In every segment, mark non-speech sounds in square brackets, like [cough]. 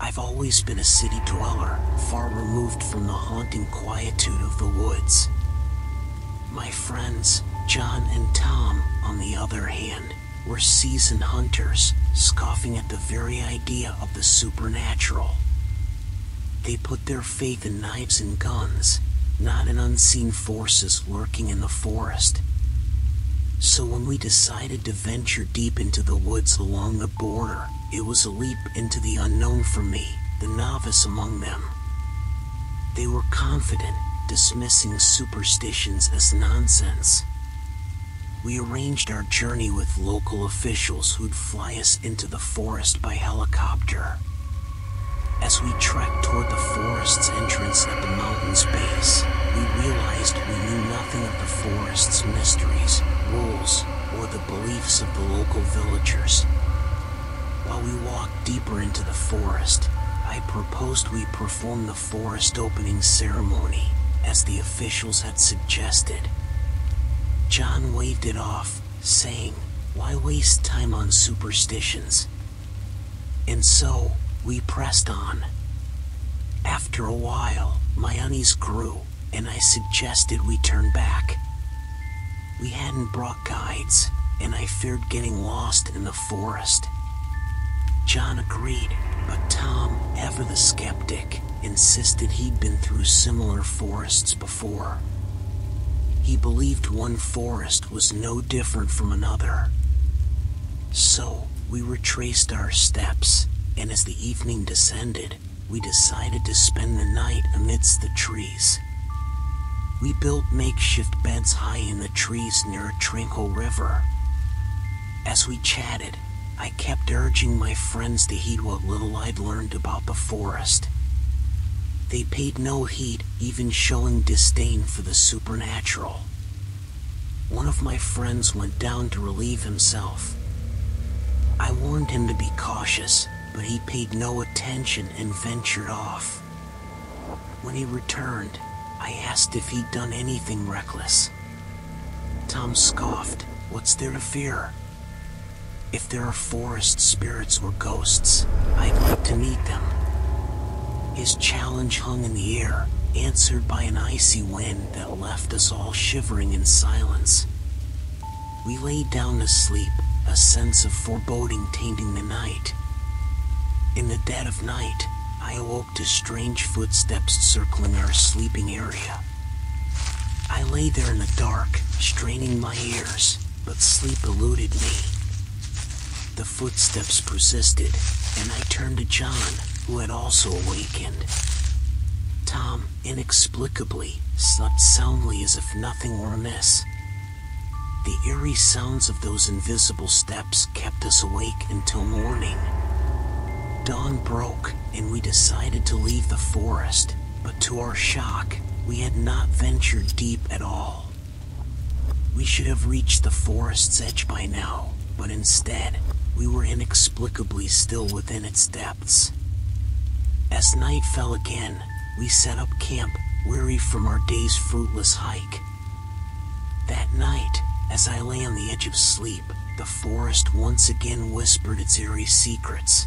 I've always been a city dweller, far removed from the haunting quietude of the woods. My friends, John and Tom, on the other hand, were seasoned hunters, scoffing at the very idea of the supernatural. They put their faith the knives and guns, not an unseen forces lurking in the forest. So when we decided to venture deep into the woods along the border, it was a leap into the unknown for me, the novice among them. They were confident, dismissing superstitions as nonsense. We arranged our journey with local officials who'd fly us into the forest by helicopter. As we trekked toward the forest's entrance at the mountain's base, we realized we knew nothing of the forest's mysteries, rules, or the beliefs of the local villagers. While we walked deeper into the forest, I proposed we perform the forest opening ceremony, as the officials had suggested. John waved it off, saying, why waste time on superstitions? And so, we pressed on. After a while, my unease grew, and I suggested we turn back. We hadn't brought guides, and I feared getting lost in the forest. John agreed, but Tom, ever the skeptic, insisted he'd been through similar forests before. He believed one forest was no different from another. So we retraced our steps, and as the evening descended, we decided to spend the night amidst the trees. We built makeshift beds high in the trees near a tranquil river. As we chatted, I kept urging my friends to heed what little I'd learned about the forest. They paid no heed, even showing disdain for the supernatural. One of my friends went down to relieve himself. I warned him to be cautious, but he paid no attention and ventured off. When he returned, I asked if he'd done anything reckless. Tom scoffed, What's there to fear? If there are forest spirits or ghosts, I'd like to meet them. His challenge hung in the air, answered by an icy wind that left us all shivering in silence. We lay down to sleep, a sense of foreboding tainting the night. In the dead of night, I awoke to strange footsteps circling our sleeping area. I lay there in the dark, straining my ears, but sleep eluded me. The footsteps persisted, and I turned to John, who had also awakened. Tom, inexplicably, slept soundly as if nothing were amiss. The eerie sounds of those invisible steps kept us awake until morning. Dawn broke, and we decided to leave the forest. But to our shock, we had not ventured deep at all. We should have reached the forest's edge by now, but instead, we were inexplicably still within its depths. As night fell again, we set up camp, weary from our day's fruitless hike. That night, as I lay on the edge of sleep, the forest once again whispered its eerie secrets.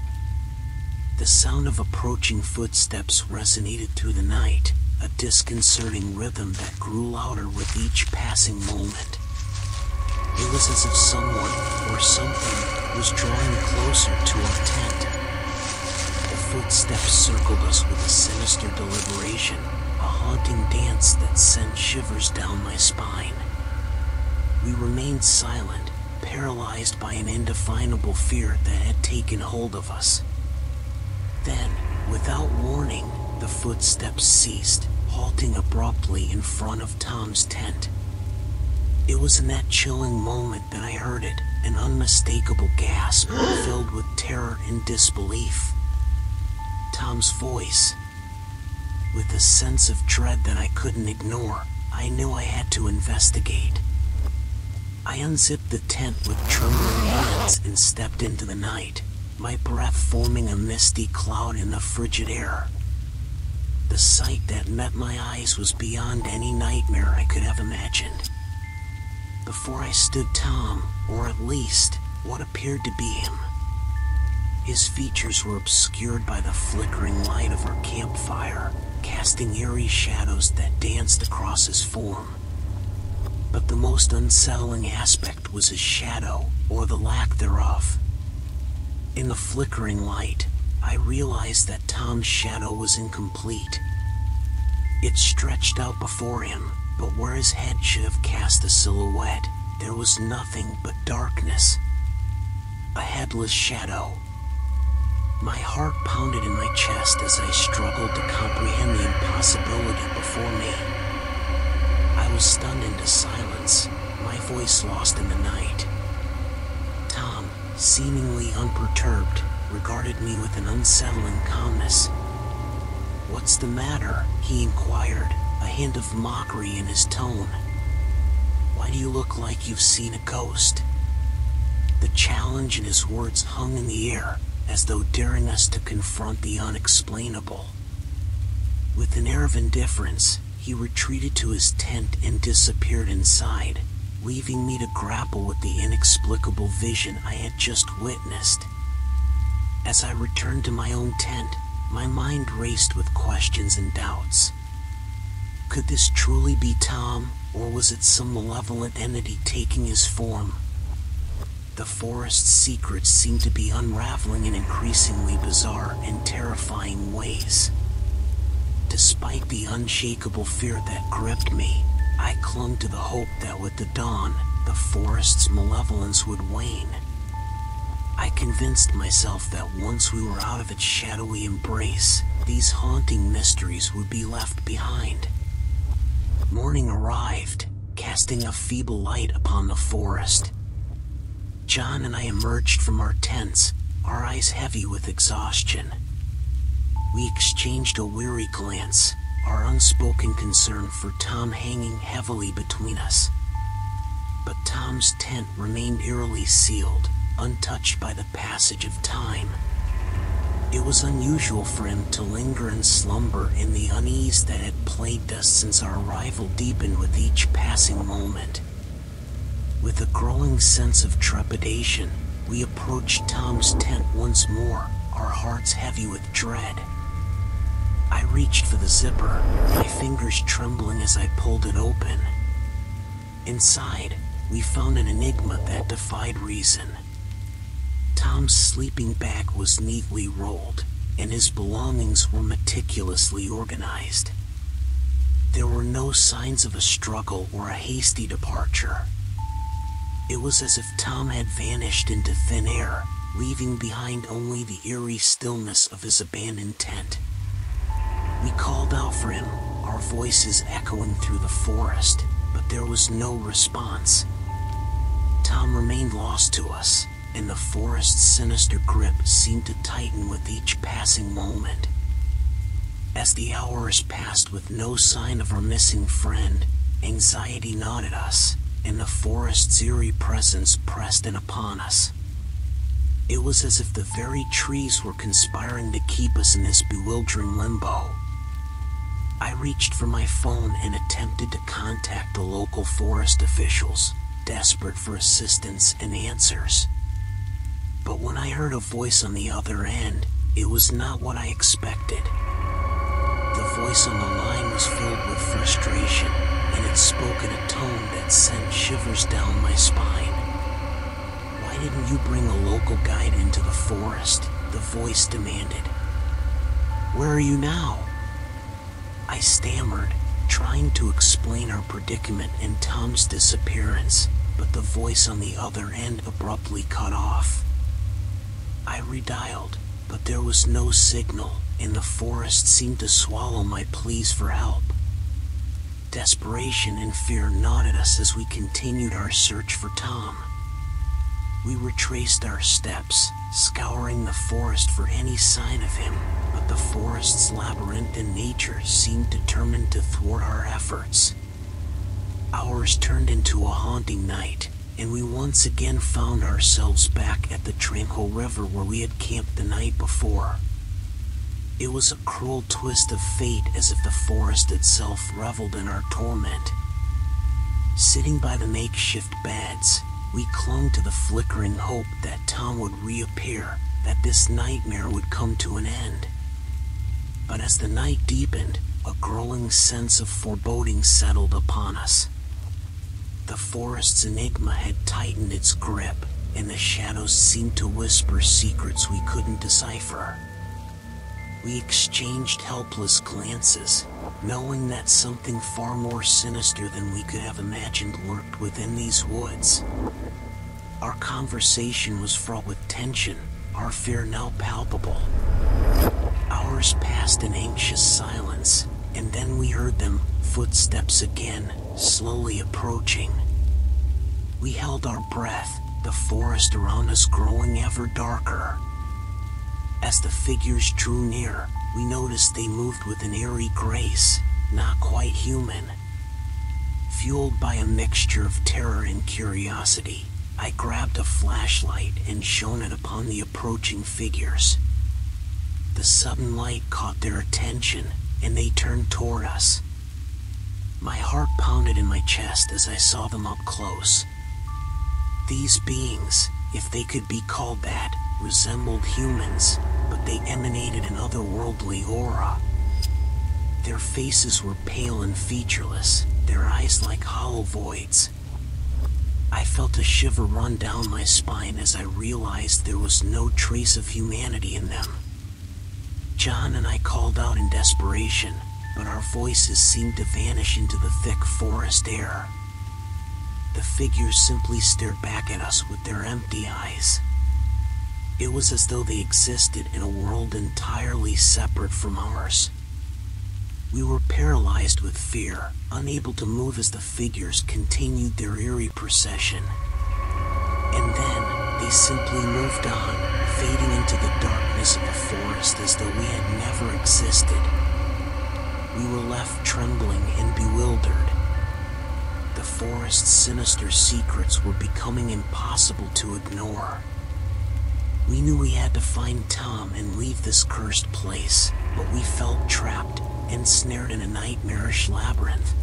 The sound of approaching footsteps resonated through the night, a disconcerting rhythm that grew louder with each passing moment. It was as if someone or something was drawing closer to our tent. The footsteps circled us with a sinister deliberation, a haunting dance that sent shivers down my spine. We remained silent, paralyzed by an indefinable fear that had taken hold of us. Then, without warning, the footsteps ceased, halting abruptly in front of Tom's tent. It was in that chilling moment that I heard it, an unmistakable gasp [gasps] filled with terror and disbelief. Tom's voice, with a sense of dread that I couldn't ignore, I knew I had to investigate. I unzipped the tent with trembling hands and stepped into the night, my breath forming a misty cloud in the frigid air. The sight that met my eyes was beyond any nightmare I could have imagined. Before I stood Tom, or at least what appeared to be him, his features were obscured obscured by the flickering light of our campfire, casting eerie shadows that danced across his form. But the most unsettling aspect was his shadow, or the lack thereof. In the flickering light, I realized that Tom's shadow was incomplete. It stretched out before him, but where his head should have cast a silhouette, there was nothing but darkness a headless shadow. My heart pounded in my chest as I struggled to comprehend the impossibility before me. I was stunned into silence, my voice lost in the night. Tom, seemingly unperturbed, regarded me with an unsettling calmness. What's the matter? he inquired, a hint mockery in his tone. Why do you look like you've seen a ghost? The challenge in his words hung in the air, as though daring us to confront the unexplainable. With an air of indifference, he retreated to his tent and disappeared inside, leaving me to grapple with the inexplicable vision I had just witnessed. As I returned to my own tent, my mind raced with questions and doubts. Could this truly be Tom, or was it some malevolent entity taking his form? The forest's secrets seemed to be unraveling in increasingly bizarre and terrifying ways. Despite the unshakable fear that gripped me, I clung to the hope that with the dawn, the forest's malevolence would wane I convinced myself that once we were out of its shadowy embrace, these haunting mysteries would be left behind. Morning arrived, casting a feeble light upon the forest. John and I emerged from our tents, our eyes heavy with exhaustion. We exchanged a weary glance, our unspoken concern for Tom hanging heavily between us. But Tom's tent remained eerily sealed, untouched by the passage of time. It was unusual for him to linger in slumber in the unease that had plagued us since our arrival deepened with each passing moment. With a growing sense of trepidation, we approached Tom's tent once more, our hearts heavy with dread. I reached for the zipper, fingers trembling as I pulled it open. Inside, we found an enigma that defied reason. Tom's sleeping bag was neatly rolled, and his belongings were meticulously organized. There were no signs of a struggle or a hasty departure. It was as if Tom had vanished into thin air, leaving behind only the eerie stillness of his abandoned tent. We called out for him, our voices echoing through the forest, but there was no response. Tom remained lost to us, and the forest's sinister grip seemed to tighten with each passing moment. As the hours passed with no sign of our missing friend, anxiety gnawed at us, and the forest's eerie presence pressed in upon us. It was as if the very trees were conspiring to keep us in this bewildering limbo. I reached for my phone and attempted to contact the local forest officials, desperate for assistance and answers. But when I heard a voice on the other end, it was not what I expected. The voice on the line was filled with frustration, and it spoke in a tone that sent shivers down my spine. Why didn't you bring a local guide into the forest? The voice demanded. Where are you now? I stammered, trying to explain our predicament and Tom's disappearance, but the voice on the other end abruptly cut off. I redialed, but there was no signal, and the forest seemed to swallow my my for help. Desperation and fear gnawed at us as we continued our search for Tom. We retraced our steps, scouring the forest for any sign of him, but the forest's labyrinthine nature seemed determined to thwart our efforts. Hours turned into a haunting night, and we once again found ourselves back at the tranquil river where we had had camped the night before. It was a cruel twist of fate as if the forest itself reveled in our torment. Sitting by the makeshift beds, we clung to the flickering hope that Tom would reappear, that this nightmare would come to an end. But as the night deepened, a growing sense of foreboding settled upon us. The forest's enigma had tightened its grip, and the shadows seemed to whisper secrets we couldn't decipher. We exchanged helpless glances, knowing that something far more sinister than we could have imagined lurked within these woods. Our conversation was fraught with tension, our fear now palpable. Hours passed in anxious silence, and then we heard them, footsteps again, slowly approaching. We held our breath, the forest around us growing ever darker. As the figures drew near, we noticed they moved with an eerie grace, not quite human. Fueled by a mixture of terror and curiosity, I grabbed a flashlight and shone it upon the approaching figures. The sudden light caught their attention, and they turned toward us. My heart pounded in my chest as I saw them up close. These beings, if they could be called that, resembled humans, but they emanated an otherworldly aura. Their faces were pale and featureless, their eyes like hollow voids. I felt a shiver run down my spine as I realized there was no trace of humanity in them. John and I called out in desperation, but our voices seemed to vanish into the thick forest air. The figures simply stared back at us with their empty eyes. It was as though they existed in a world entirely separate from ours. We were paralyzed with fear, unable to move as the figures continued their eerie procession. And then they simply moved on, fading into the darkness of the forest as though we had never existed. We were left trembling and bewildered. The forest's sinister secrets were becoming impossible to ignore. We knew we had to find Tom and leave this cursed place, but we felt trapped ensnared in a nightmarish labyrinth.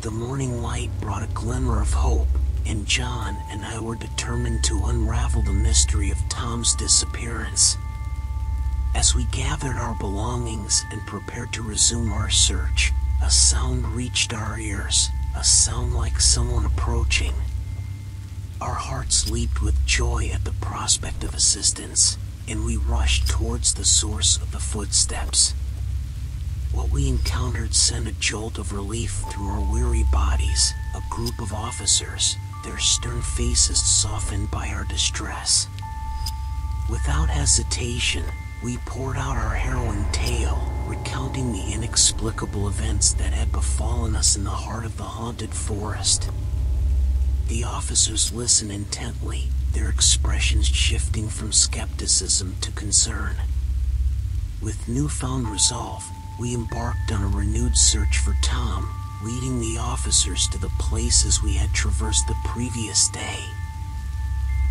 The morning light brought a glimmer of hope, and John and I were determined to unravel the mystery of Tom's disappearance. As we gathered our belongings and prepared to resume our search, a sound reached our ears, a sound like someone approaching. Our hearts leaped with joy at the prospect of assistance, and we rushed towards the source of the footsteps. What we encountered sent a jolt of relief through our weary bodies. A group of officers, their stern faces softened by our distress. Without hesitation, we poured out our harrowing tale, recounting the inexplicable events that had befallen us in the heart of the haunt haunted forest. The officers listen intently, their expressions shifting from skepticism to concern. With newfound resolve, we embarked on a renewed search for Tom, leading the officers to the places we had traversed the previous day.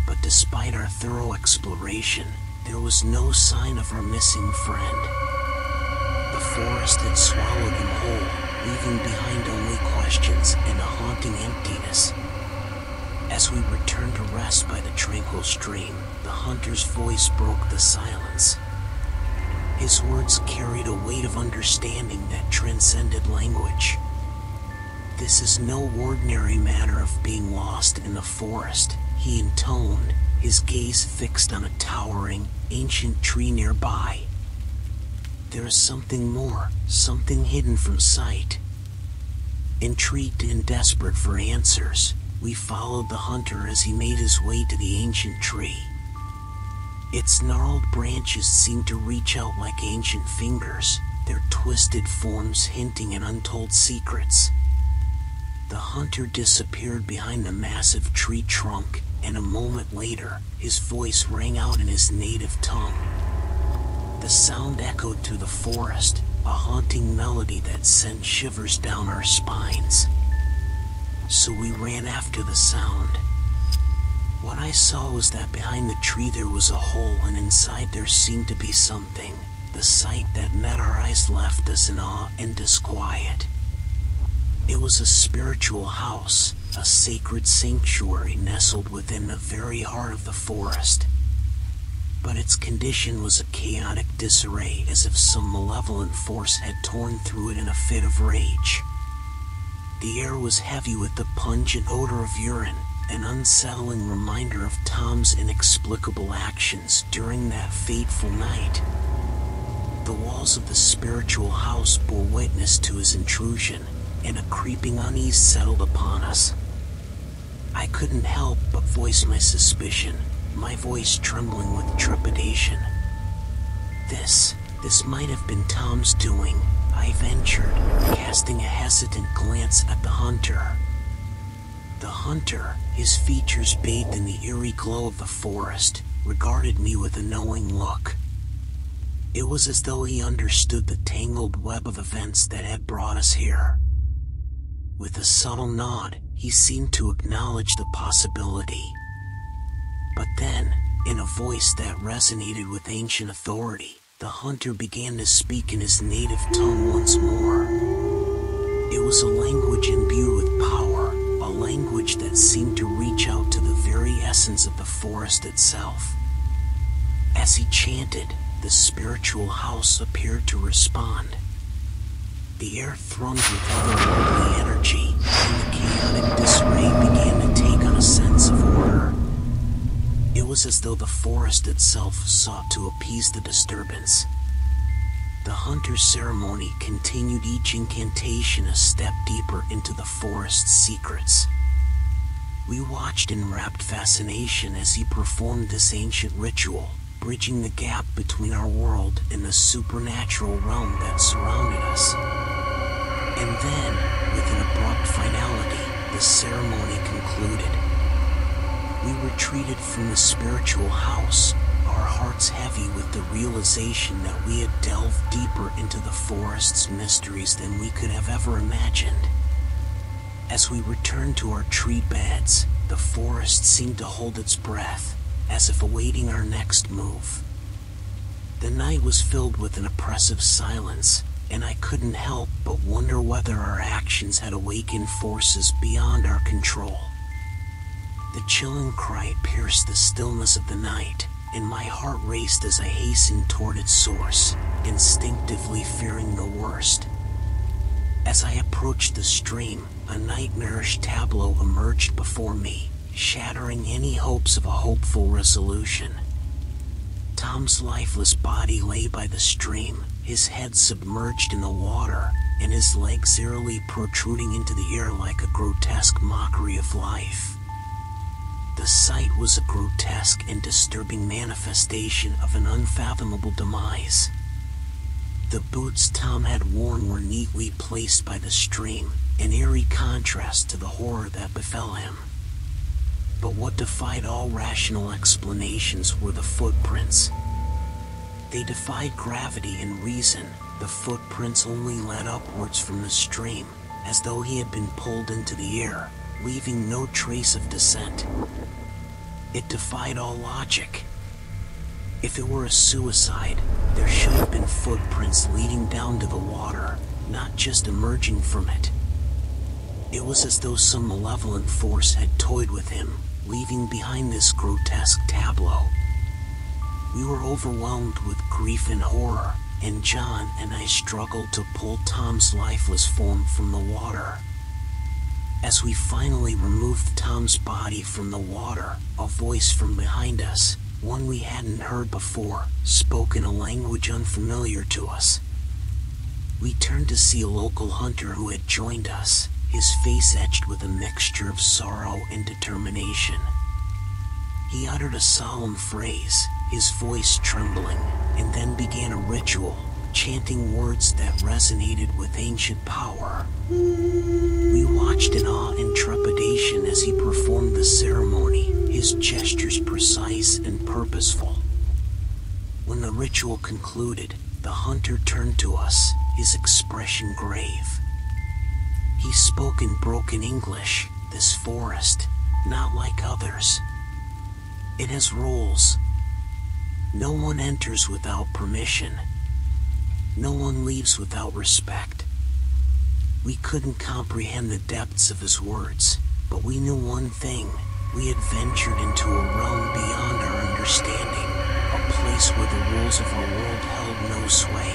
But despite our thorough exploration, there was no sign of our missing friend. The forest had swallowed him whole, leaving behind only questions and a haunting emptiness. As we returned to rest by the tranquil stream, the hunter's voice broke the silence. His words carried a weight of understanding that transcended language. This is no ordinary matter of being lost in the forest, he intoned, his gaze fixed on a towering, ancient tree nearby. There is something more, something hidden from sight. Intrigued and desperate for answers, we followed the hunter as he made his way to the ancient tree. Its gnarled branches seemed to reach out like ancient fingers, their twisted forms hinting at untold secrets. The hunter disappeared behind the massive tree trunk, and a moment later, his voice rang out in his native tongue. The sound echoed through the forest, a haunting melody that sent shivers down our spines. So we ran after the sound. What I saw was that behind the tree there was a hole, and inside there seemed to be something. The sight that met our eyes left us in awe and disquiet. It was a spiritual house, a sacred sanctuary nestled within the very heart of the forest. But its condition was a chaotic disarray as if some malevolent force had torn through it in a fit of rage. The air was heavy with the pungent odor of urine, an unsettling reminder of Tom's inexplicable actions during that fateful night. The walls of the spiritual house bore witness to his intrusion, and a creeping unease settled upon us. I couldn't help but voice my suspicion, my voice trembling with trepidation. This, this might have been Tom's doing, I ventured, casting a hesitant glance at the hunter. The hunter, his features bathed in the eerie glow of the forest, regarded me with a knowing look. It was as though he understood the tangled web of events that had brought us here. With a subtle nod, he seemed to acknowledge the possibility. But then, in a voice that resonated with ancient authority, the hunter began to speak in his native tongue once more. It was a language imbued with power, a language that seemed to reach out to the very essence of the forest itself. As he chanted, the spiritual house appeared to respond. The air thrummed with otherworldly energy, and the chaotic disarray began to take on a sense of order. It was as though the forest itself sought to appease the disturbance. The hunter's ceremony continued each incantation a step deeper into the Forest secrets. We watched in rapt fascination as he performed this ancient ritual, bridging the gap between our world and the supernatural realm that surrounded us. And then, with an abrupt finality, the ceremony concluded. We retreated from the spiritual house, our hearts heavy with the realization we had delved deeper into the forest's mysteries than we could have ever imagined. As we returned to our tree beds, the forest seemed to hold its breath, as if awaiting our next move. The night was filled with an oppressive silence, and I couldn't help but wonder whether our actions had awakened forces beyond our control. The chilling cry pierced the stillness of the night, and my heart raced as I hastened toward its source, instinctively fearing the worst. As I approached the stream, a nightmarish tableau emerged before me, shattering any hopes of a hopeful resolution. Tom's lifeless body lay by the stream, his head submerged in the water, and his legs eerily protruding into the air like a grotesque mockery of life. The sight was a grotesque and disturbing manifestation of an unfathomable demise. The boots Tom had worn were neatly placed by the stream, an eerie contrast to the horror that befell him. But what defied all rational explanations were the footprints. They defied gravity and reason. The foot prince only led upwards from the stream, as though he had been pulled into the air, leaving no trace of descent. It defied all logic. If it were a suicide, there should have been footprints leading down to the water, not just emerging from it. It was as though some malevolent force had toyed with him, leaving behind this grotesque tableau. We were overwhelmed with grief and horror, and John and I struggled to pull Tom's lifeless form from the water. As we finally removed Tom's body from the water, a voice from behind us, one we hadn't heard before, spoke in a language unfamiliar to us. We turned to see a local hunter who had joined us, his face etched with a mixture of sorrow and determination. He uttered a solemn phrase, his voice trembling, and then began a ritual, chanting words that resonated with ancient power. We watched in awe and trepidation as he performed the ceremony, his gestures precise and purposeful. When the ritual concluded, the hunter turned to us, his expression expression grave. He spoke in broken English, this forest, not like others. It has rules. No one enters without permission. No one leaves without respect. We couldn't comprehend the depths of his words, but we knew one thing. We had ventured into a realm beyond our understanding, a place where the rules of our world no sway.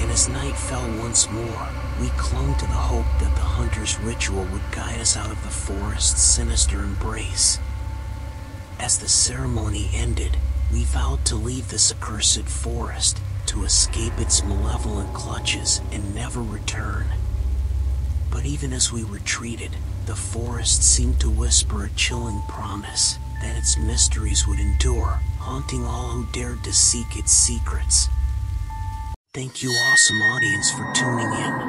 And as night fell once more, we clung to the hope that the hunter's ritual would guide us out of the forest's sinister embrace. As the ceremony ended, we vowed to leave this accursed forest, to escape its malevolent clutches, and never return. But even as we retreated, the forest seemed to whisper a chilling promise that its mysteries would endure, haunting all who dared to seek its secrets. Thank you, awesome audience, for tuning in.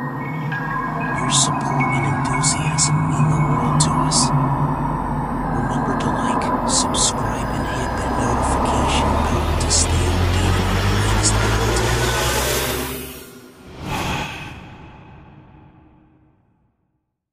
Your support and enthusiasm mean the world to us. Remember to like, subscribe, and hit that notification bell to stay updated